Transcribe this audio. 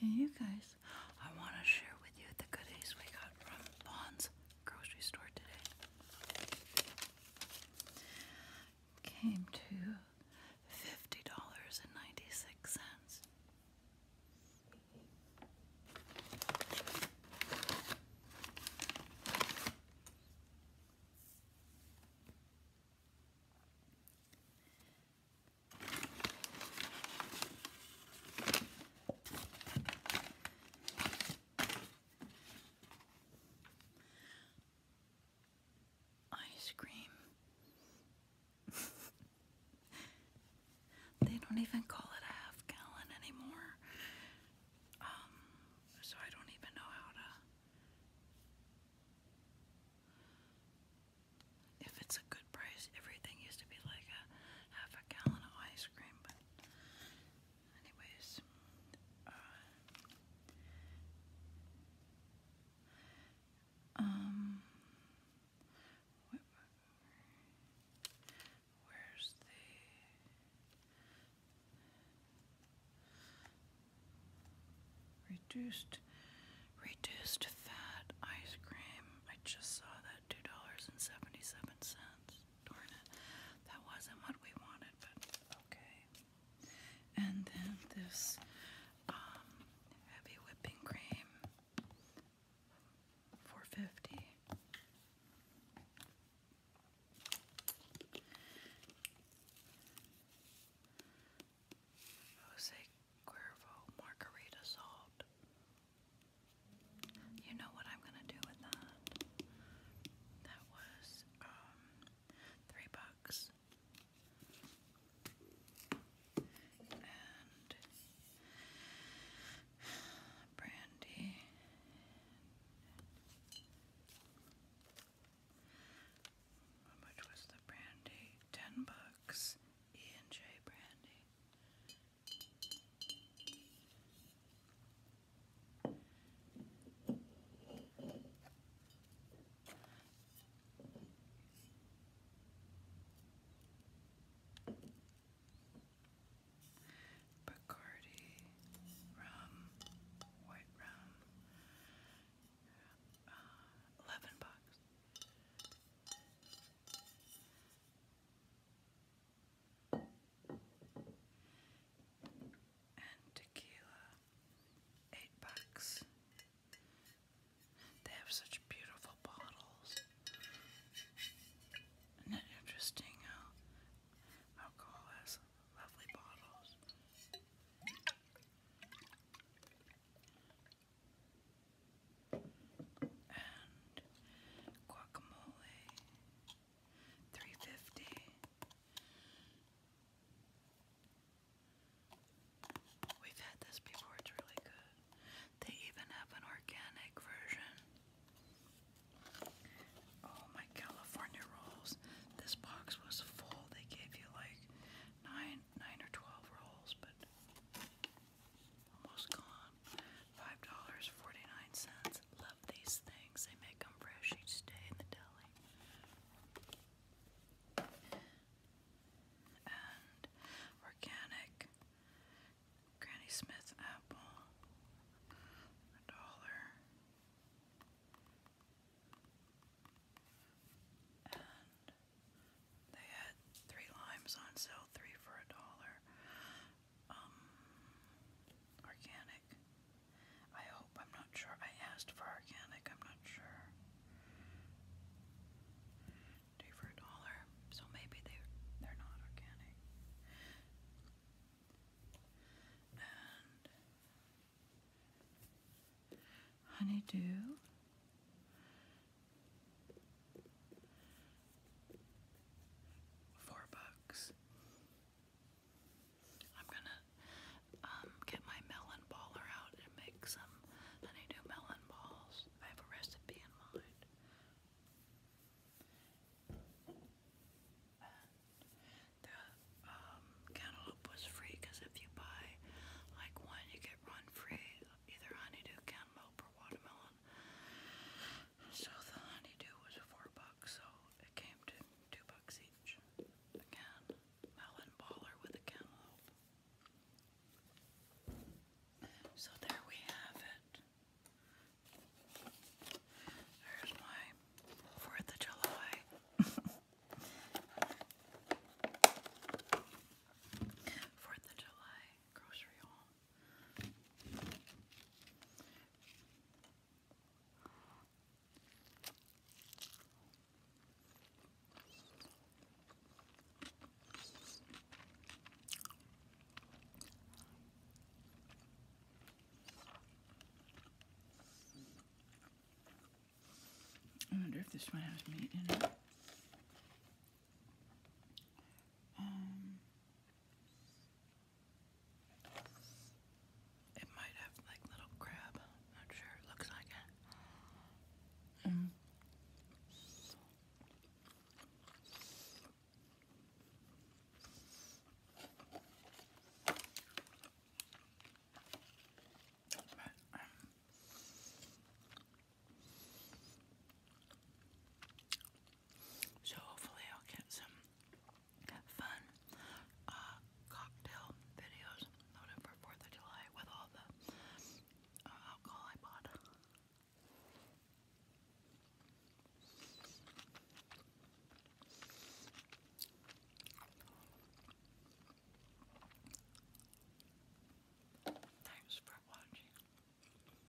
Hey you guys, I want to share with you the goodies we got from Bond's grocery store today. Came to $50.96. Ice cream. they don't even call it a half gallon anymore. Um, so I don't even know how to if it's a good price, everything used to be like a half a gallon of ice cream, but anyways, uh, um, where's the Reduced reduced fat ice cream. I just saw that two dollars and seventy-seven cents. Darn it. That wasn't what we wanted, but okay. And then this um, heavy whipping cream. 450 Jose Cuervo margarita salt. You know what I'm gonna do with that? That was um, three bucks. And brandy how much was the brandy? Ten bucks. E J brandy. Bacardi, rum, white rum, uh, 11 bucks. And tequila, 8 bucks. They have such beautiful bottles. Isn't it interesting alcohol has lovely bottles? And guacamole, three fifty. We've had this before, it's really good. They even have an organic version. Oh, my California rolls. This box was full. They gave you like nine, nine or twelve rolls, but almost gone. Five dollars forty-nine cents. Love these things. They make them fresh each day in the deli and organic Granny Smith apple, dollar, and they had three limes on sale, three for a dollar. Um, organic. I hope I'm not sure. I asked for organic. I'm not sure. Two for a dollar. So maybe they they're not organic. honeydew. Four bucks. I'm gonna um, get my melon baller out and make some honeydew melon balls. I have a recipe in mind. the um, cantaloupe was free because if you buy like one, you get one free, either honeydew, cantaloupe, or watermelon. So the honeydew was four bucks, so it came to two bucks each. Again, melon baller with a cantaloupe. So there we have it. There's my 4th of July. Fourth of July grocery haul. I wonder if this one has meat in it. Um, it might have like little crab. Not sure. looks like it. So hopefully I'll get some fun uh, cocktail videos loaded for 4th of July with all the uh, alcohol I bought. Thanks for watching.